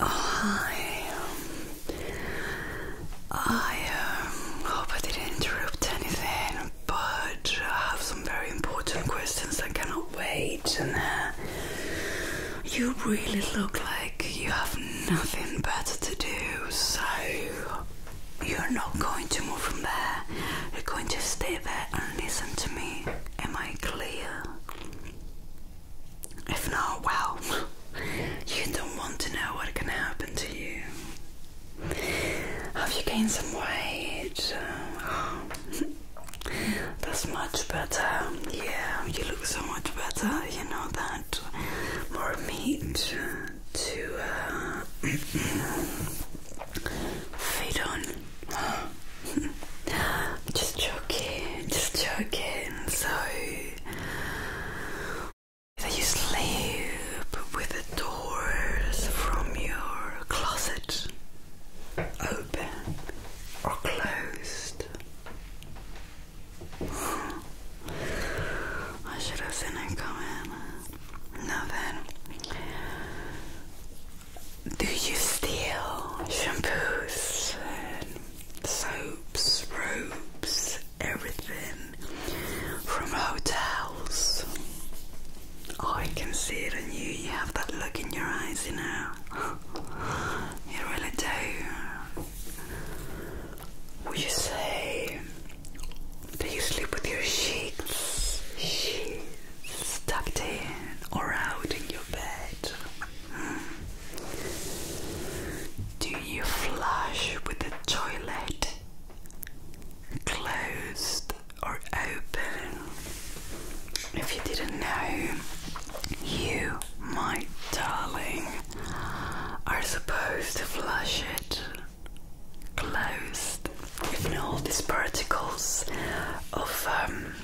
Oh, I hope I didn't interrupt anything, but I have some very important questions. I cannot wait. And uh, you really look like you have nothing better to do, so you're not going to move from there. You're going to stay there and listen to me. Am I clear? If not, well, you don't want to know what can happen to you. Have you gained some weight? that's much better. Yeah, you look so much better. You know that. More meat to uh, feed on. just joking, just joking. So, that you sleep with the doors from your closet open or closed. I should have seen it coming. Now then, do you steal shampoos and soaps, robes, everything from hotels? I can see it in you. You have that look in your eyes, you know. You really do. Would you say do you sleep with your sheets, sheets tucked in or out in your bed? Do you flush with the toilet? Closed or open? If you didn't know, you, my darling, are supposed to flush it closed with all these particles of um,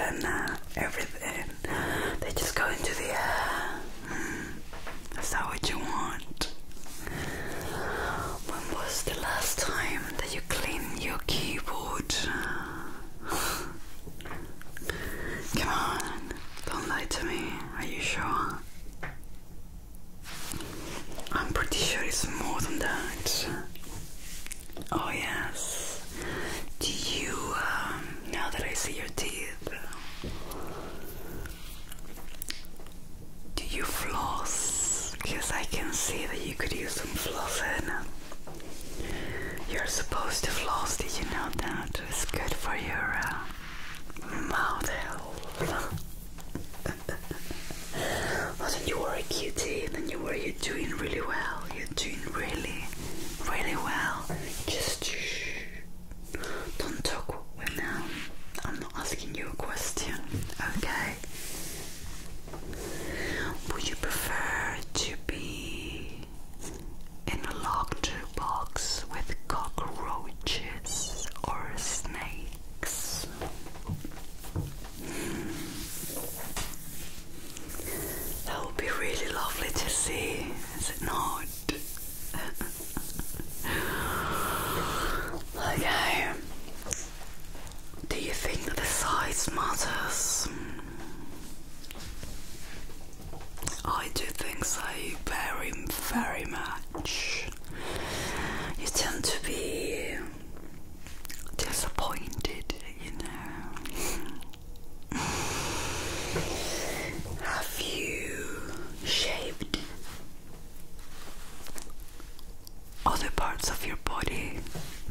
and uh, everything. They just go into the air. Is mm. that what you want? When was the last time that you cleaned your keyboard? Come on, don't lie to me. Are you sure? I'm pretty sure it's more than that. Oh, yes. Do you, um, now that I see your teeth, do you floss? Because I can see that you could use some flossing. You're supposed to floss, did you know that? It's good for your uh, mouth health well, then you are a cutie, then you were you're doing really well. You're doing really, really well. Just Don't talk right now. Um, I'm not asking you a question, okay? Would you prefer to be in a locked box with cockroaches? roaches or snakes. That would be really lovely to see, is it not? okay. Do you think the size matters? I do think so very, very much you tend to be disappointed, you know. Have you shaved other parts of your body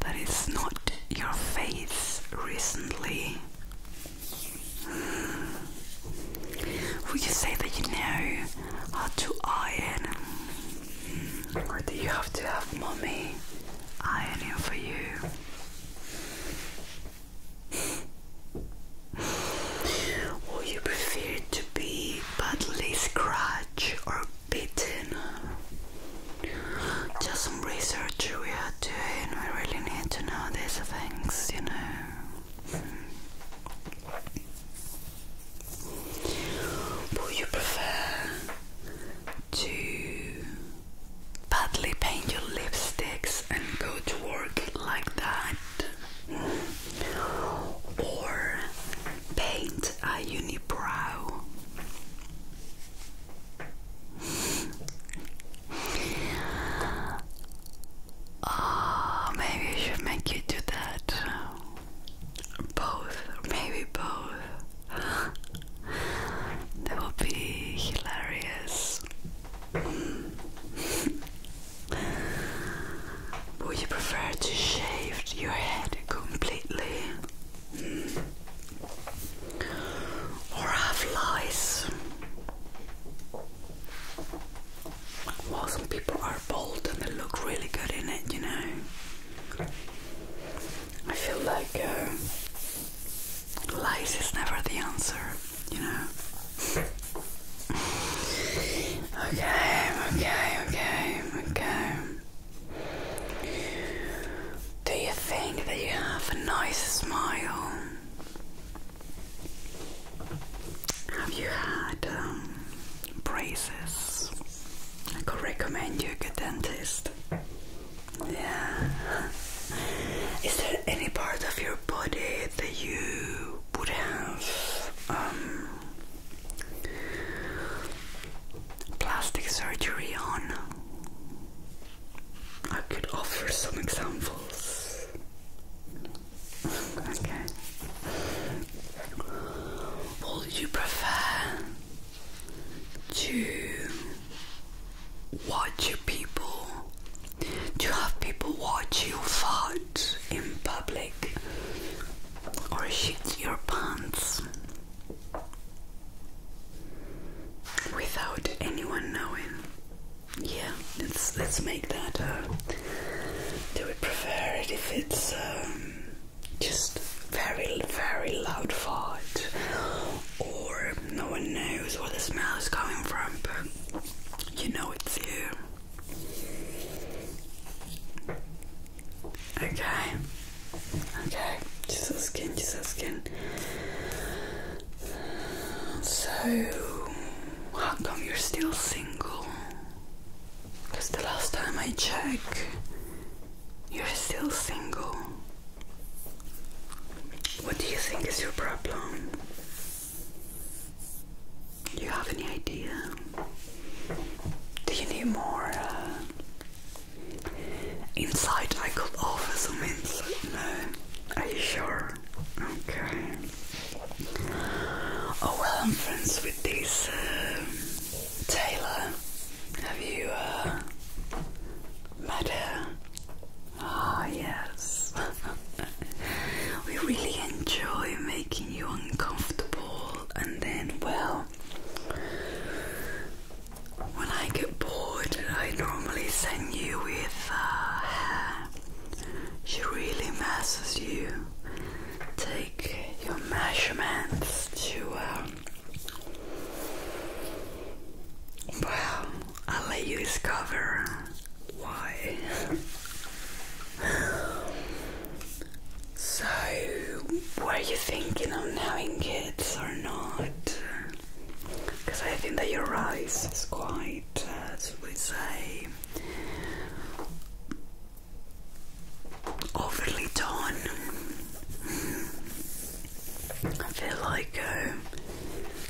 that is not your face recently? Would you say that you know how to iron? Or do you have to have mommy ironing for you? Or you prefer to be badly scratched or bitten? Just some research we are doing. We really need to know these things, you know. Would you prefer to badly paint your lipsticks and go to work like that? Or paint a unibrow? Oh, maybe I should make you do that. Both, maybe both. that will be hilarious. Would you prefer to shave your head completely? Or have lice? well, some people are bold and they look really good in it, you know. I feel like uh, lies is never the answer, you know. okay, okay, okay, okay. Do you think that you have a nice smile? Have you had um, braces? I could recommend you a dentist. Yeah. Is there any part of your body that you would have um, plastic surgery on? I could offer some examples. Would you prefer to watch people? To have people watch you fart in public or shit your pants without anyone knowing? yeah, let's let's make that. Uh, do they prefer it if it's um, just very very loud fart, or no one knows where the smell is coming from, but you know it's here. Okay, okay, just a skin, just a skin. So how come you're still single? Because the last time I checked, you're still single. What do you think is your problem? Do you have any idea? Do you need more uh, insight? I could offer some insight. No. Are you sure? Okay. Oh well, I'm friends with this um, Taylor. Have you uh, met her? Ah, oh, yes. we really enjoy making you uncomfortable, and then, well, when I get bored, I normally send you with uh, she really messes you. Take your measurements to. Um, well, I'll let you discover why. so, were you thinking of having kids or not? Because I think that your eyes is quite, uh, as we say, overly done. I feel like uh,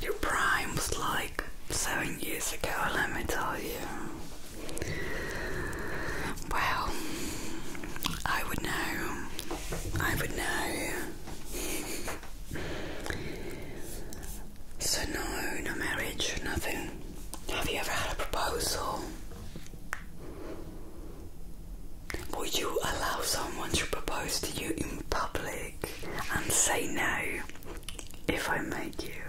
your prime was like seven years ago, let me tell you. Well, I would know. I would know. So no, no marriage, nothing. Have you ever had a proposal? Would you allow someone to propose to you in public and say no if I make you?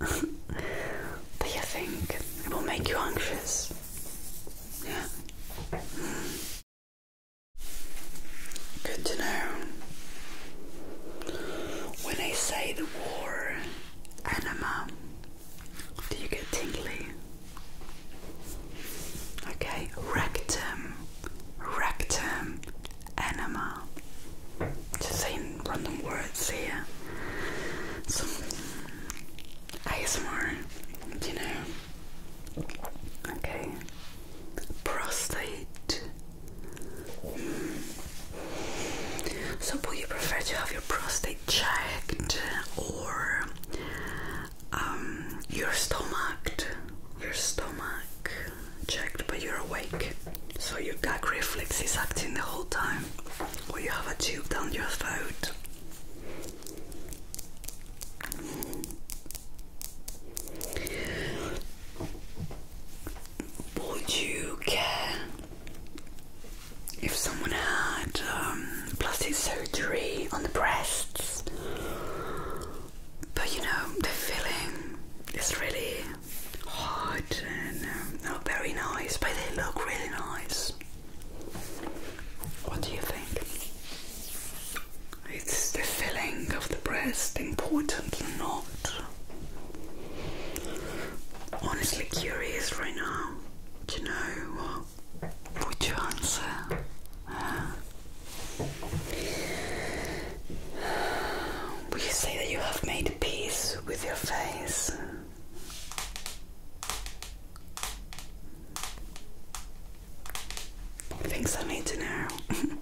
do you think it will make you anxious? Yeah. Good to know. When I say the war anima, do you get tingly? Okay, rectum, rectum, anima. Just saying random words here. Some ASMR, you know? Okay, prostate. So, would you prefer to have your prostate checked or um, your stomach, your stomach checked, but you're awake, so your gag reflex is acting the whole time, or you have a tube down your throat? Would you care if someone had um, plastic surgery on the breasts? But you know, the filling is really hot and um, not very nice, but they look really nice. What do you think? It's the filling of the breast, important or not. Honestly curious right now. Do you know what? Would you answer? would you say that you have made peace with your face? Things I need to know.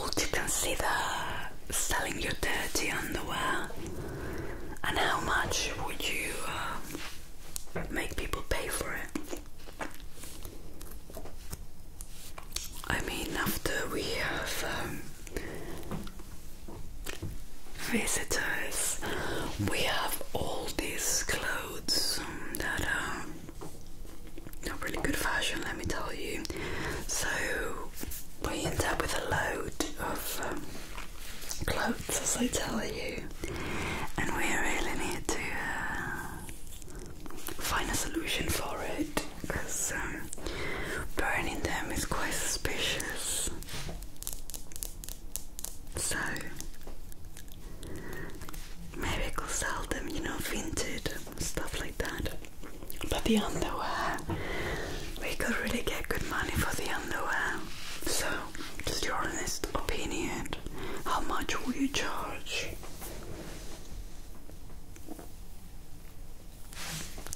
Would you consider selling your dirty underwear? And how much would you um, make people pay for it? I mean, after we have um, visitors, we have all these clothes that are not really good fashion, let me tell you. So we end up with a load of um, clothes, as I tell you, and we really need to uh, find a solution for it because um, burning them is quite suspicious. So Miracles them, you know, vintage stuff like that. But the underwear, we could really get good money for the underwear. So, just your honest opinion. How much will you charge?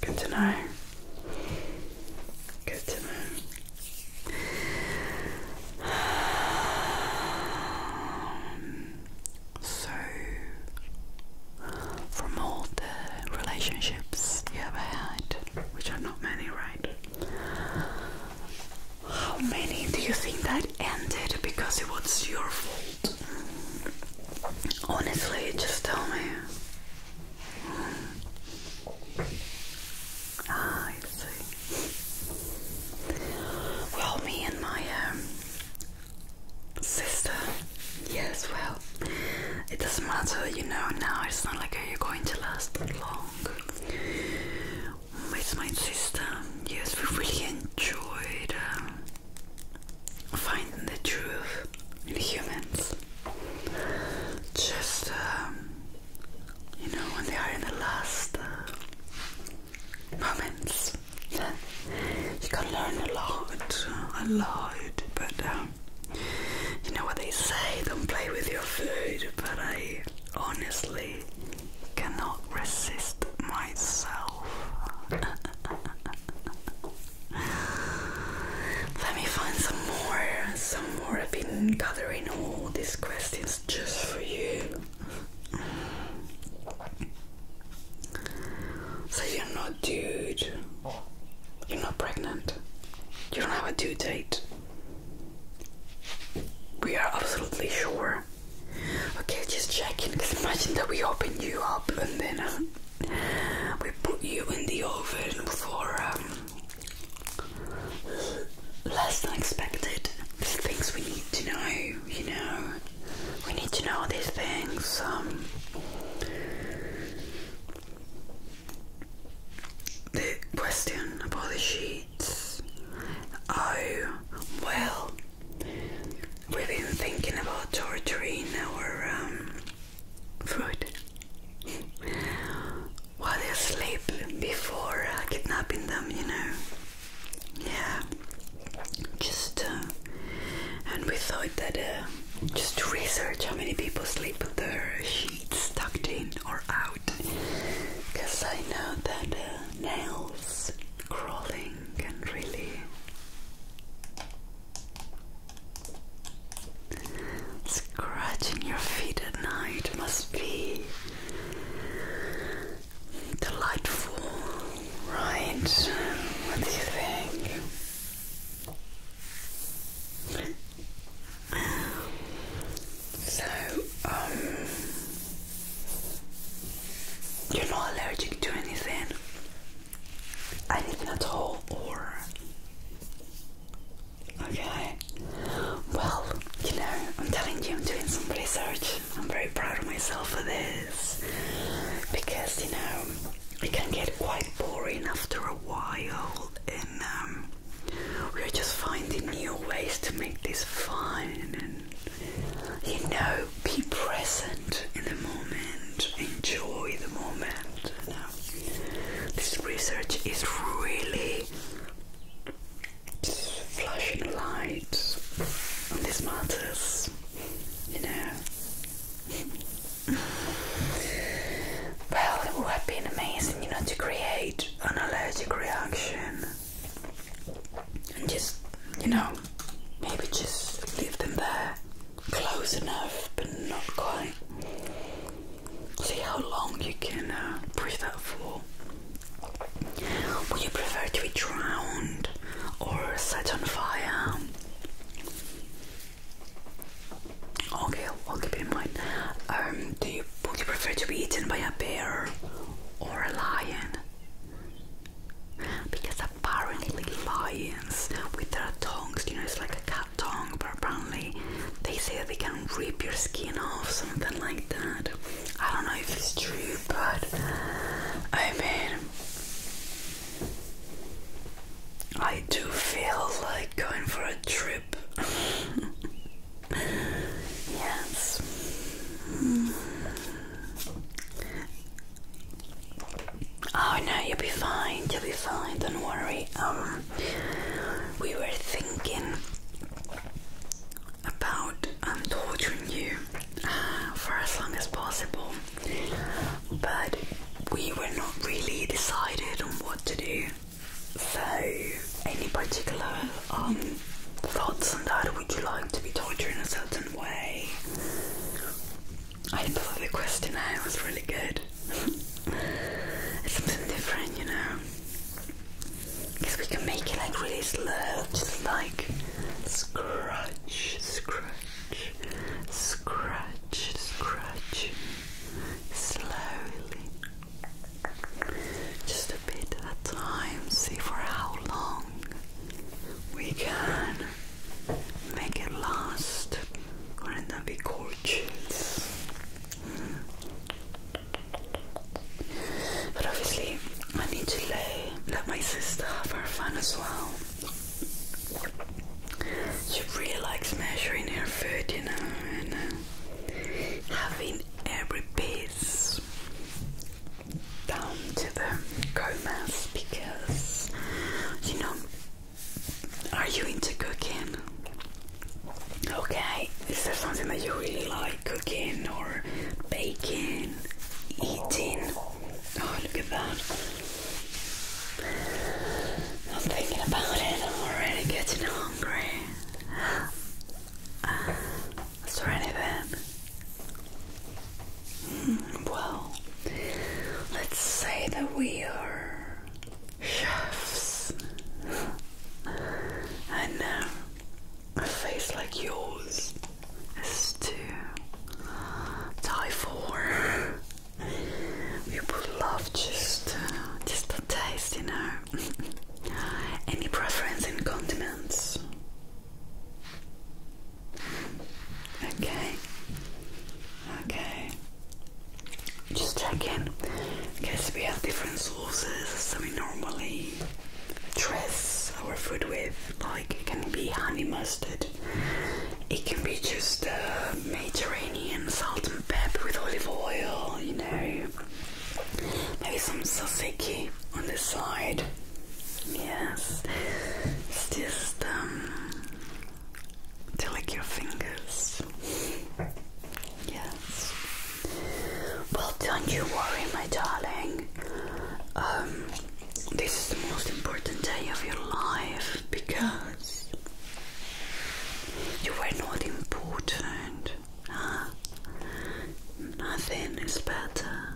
Good to know. Good to know. Um, so from all the relationships you ever had, which are not many, right? How many do you think that ended because it was your fault? Honestly, just tell me. Ah, well, me and my um, sister, yes, well, it doesn't matter, you know, now it's not like you're going to last long. With my sister, yes, we really enjoyed um, finding the truth in humans. Just, um, you know, when they are in the last uh, moments. you can learn a lot, a lot, but um, you know what they say, don't play with your food, but I honestly cannot resist myself. Let me find some more. Some more. I've been gathering all these questions just for you. So you're not dude. You're not pregnant. You don't have a due date. We are absolutely sure. Okay, just checking. Cause imagine that we open you up and then uh, we put you in the oven for um, less than expected. There's things we need to know, you know. We need to know these things. Um, the question about the sheets. Oh, well, we've been thinking about torturing our um, food while they sleep before uh, kidnapping them, you know yeah just uh, and we thought that uh, just to research how many people sleep with their sheets tucked in or out because I know that uh, nails crawling and really Scratching your feet at night must be Delightful, right? What do you think? So, um, you're not allergic to anything, anything at all, or okay? Well, you know, I'm telling you, I'm doing some research. I'm very proud of myself for this because you know it can get quite boring after a while, and um, we're just finding new ways to make this fun and you know be present in the moment, enjoy the moment. You know? This research is really flashing lights and this matters, you know. well, it would have been amazing, you know, to create an allergic reaction and just, you know, maybe just leave them there close enough but not quite. See how long you can uh, breathe out for. Would you prefer to be drowned or set on fire? Okay, I'll keep it in mind. Um, do you would you prefer to be eaten by a bear or a lion? Because apparently lions with their tongues, you know, it's like a cat tongue, but apparently they say that they can rip your skin off, something like that. I don't know if it's true, but I mean, I do feel like going for a trip. yes. Oh no, you'll be fine. You'll be fine. Don't worry. Um, we were thinking about I'm um, torturing you uh, for as long as possible, but we were not really decided on what to do. So, any particular um, thoughts on that? Would you like to be tortured in a certain way? I thought the question. questionnaire was really good. something different, you know. Because we can make it like really slow, just like scratch, scratch, scratch, scratch, slowly. Just a bit at a see for how long we can make it last. Wouldn't that be gorgeous? Mm. But obviously, I need to lay, let my sister have her fun as well. She really likes measuring her food, you know, and uh, having every piece down to the comas because, you know, are you into cooking? Okay, is there something that you really like cooking or baking, eating? Oh, look at that. I'm thinking about it, I'm already getting hungry. Uh, is there anything? Mm, well, let's say that we are chefs. I know. Uh, a face like yours is too. die for. you would love just uh, just a taste, you know. Any preference in condiments? Okay. Okay. Just check in. cause we have different sauces, than we normally dress our food with. Like it can be honey mustard, it can be just uh, Mediterranean salt and pepper with olive oil, you know. Maybe some tzatziki on the side. Yes, it's just um, to lick your fingers. Yes. Well, don't you worry, my darling. Um, this is the most important day of your life because you were not important. Nothing is better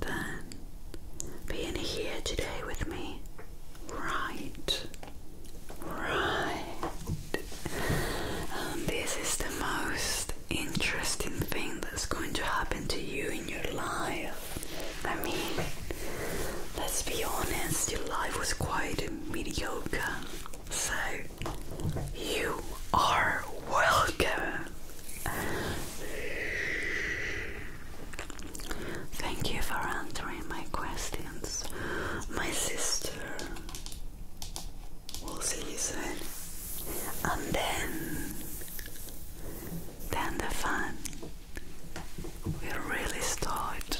than being here today with me. Right. Right. Um, this is the most interesting thing that's going to happen to you in your life. I mean, let's be honest, your life was quite mediocre. So, you are welcome. Thank you for answering my questions, my sister. We'll see you soon. And then, then the fun will really start.